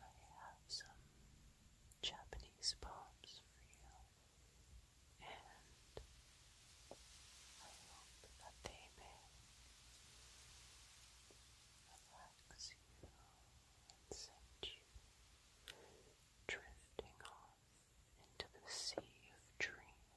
I have some Japanese poems for you and I hope that they may relax you and send you drifting off into the sea of dreams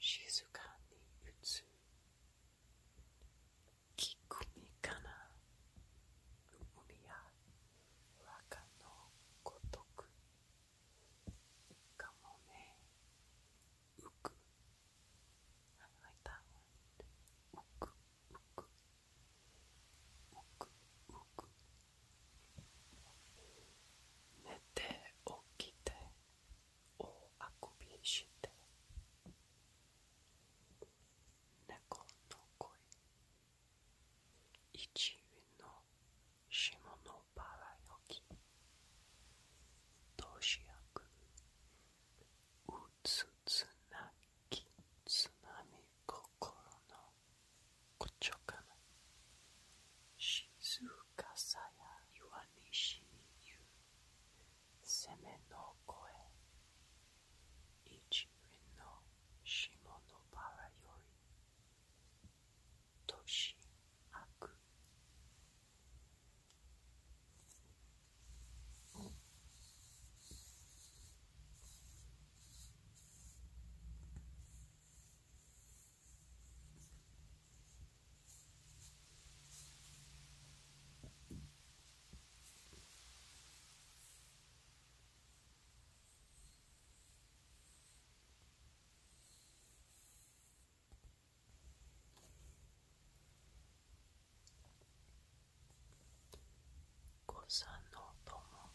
静かに打つ木くみかなう海やわかのごとくかもねうくはいたくうくうく浮く寝て起きて o akubieshite Neko no koi Ichiu no shimo no barayoki Toshiaku Utsutsunaki tsunami kokoro no kochokana Shizuka saya yuanishi ni yuki 攻めの声一輪の下のバラより年明く五三の音も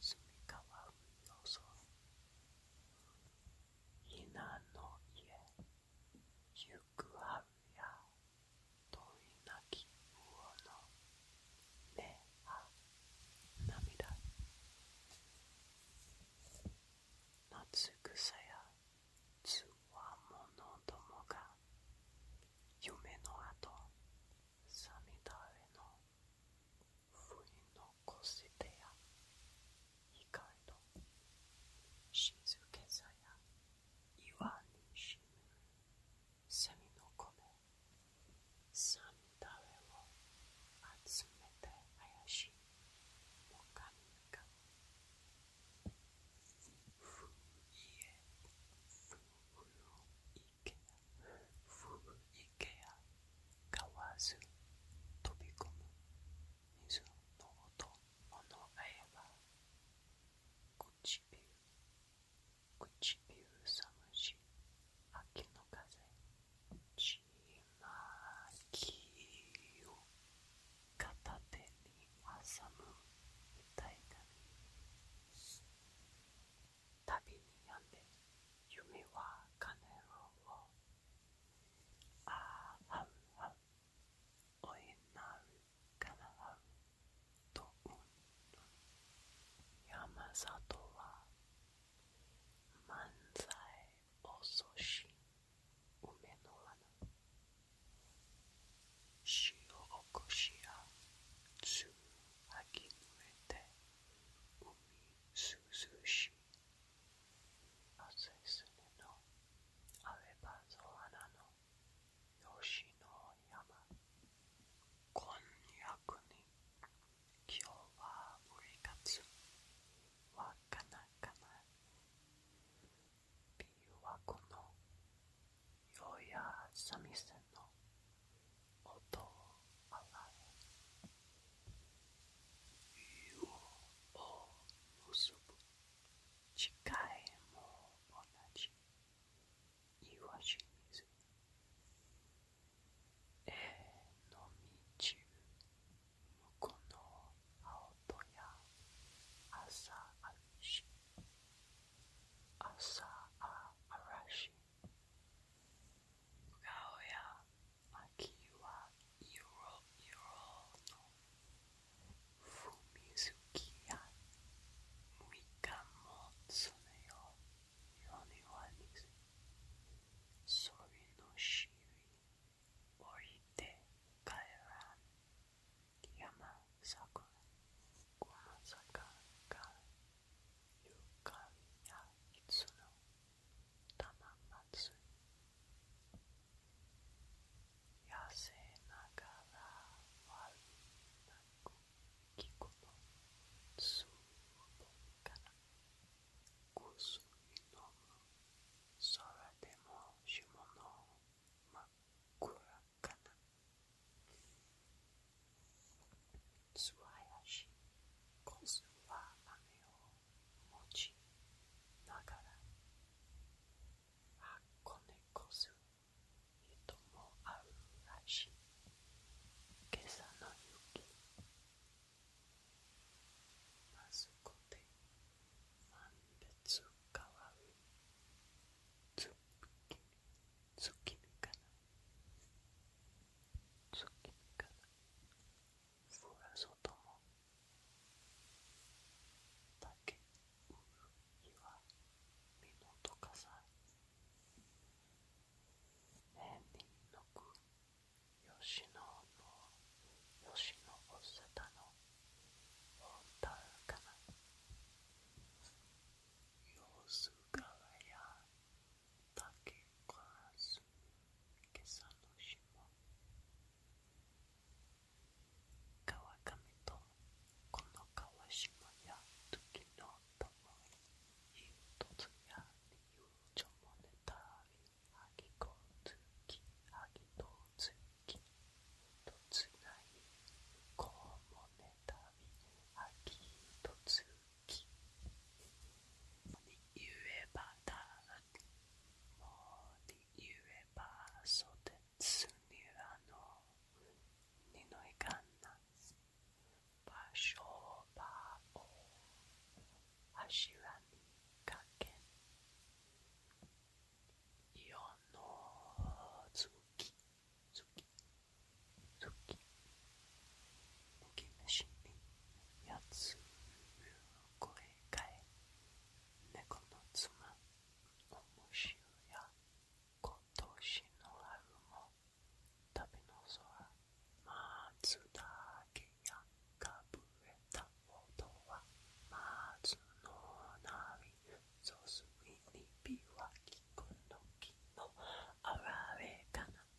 隅川海の空ひなの家行く春や遠いなき魚のねは涙夏草やつわものどもが夢のあと涙への不意の越手や光の静けさや岩に沈む蝉の声サミダレを集めて林の神々ふ家ふ古池古池や買わず飛び込む水の音ものあえば唇唇寒し秋の風ちまきを片手に挟む歌いだ旅に病んで夢は金を أحب أنك تؤمن يا مساطوة منزل أوسوشي ومنوانا شيو أوكوشيا تسو أكينويتي ومي سوزوشي 熱いのアレバゾアナの吉野山こんにゃくに今日はウリカツわかなかな琵琶湖のようや三味線の音を洗う湯を結ぶかえも同じ岩清水えのみち向こうの青とや朝あるし朝あらしがおや秋は色々の踏み好きやみかんもそれを世にはにそれのしりおいて帰らん山桜この坂がゆかりやいつのたままつ痩せながら悪なく気候の通路から薬飲むそれでも下の真っ暗かな素早しこそは雨を持ちながら箱根こそとも会うらしい今朝の雪まずこで満別かわう月つ月見かなつ月見かな소멸소도모다케우유와미노토카사에민노쿠요시노노요시노오세타노온타카나요수가와야竹川水草の霜川上とこの川下や時のともにとつや理由ちょもねたび、はぎこつきはぎとつきとつないこうもねたび、はぎとつきにゆえばだもう言えば袖つにらのにのいかんな場所場を柱にかけ世の月月月月虫にやつ声かえ猫の妻おむしろや今年の春も旅の空松だけやかぶれた音は松の波注ぎにびわきくの木のあられかな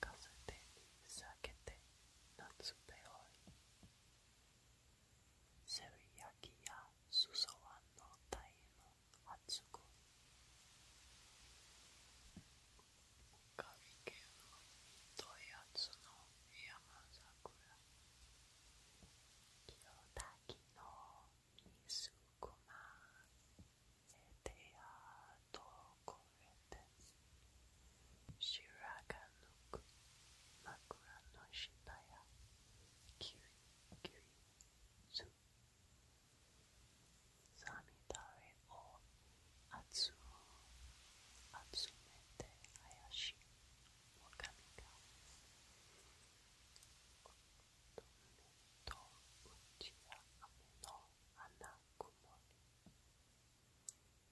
風で避けて夏べおいセリヤキやすそわのタイム発語カリケのとやつの山桜清滝の水熊エテア遠くへです白髪抜く枕の下やキュイキュイすさみだれを集めて林おかみがとうちや雨の花曇り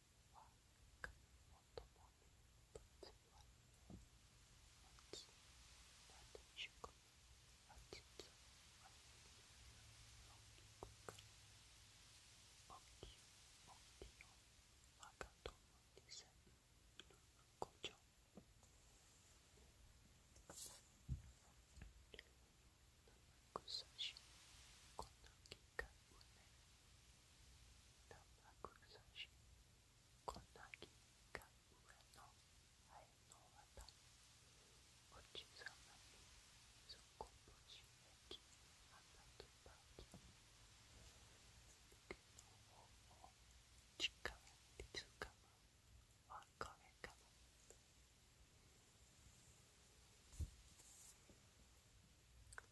はかもともに仏は松なでしこあちつあちのきくかおきお사실건너기가오네남하국사실건너기가우에노아이노와다어찌사마니소코보시에기아마도바기미그노오오치카와이즈카마와카레카마こ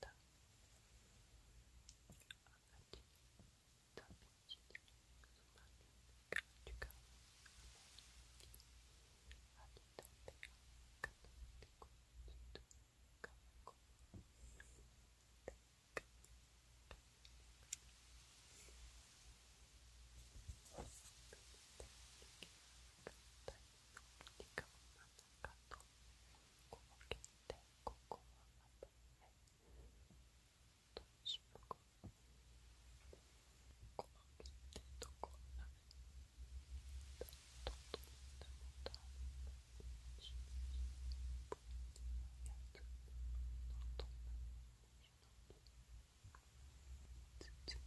da Arrête ta petite marque du cœur Thank you. この結でここはまたねどうしようかこの辺ってどこだねどこでもだしやつのと全然大丈夫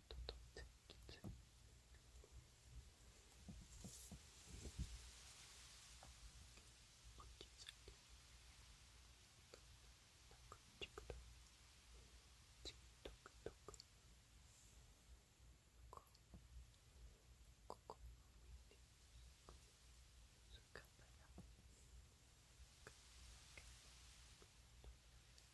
トと前日本日なくちくとちとくとくこここでそれからや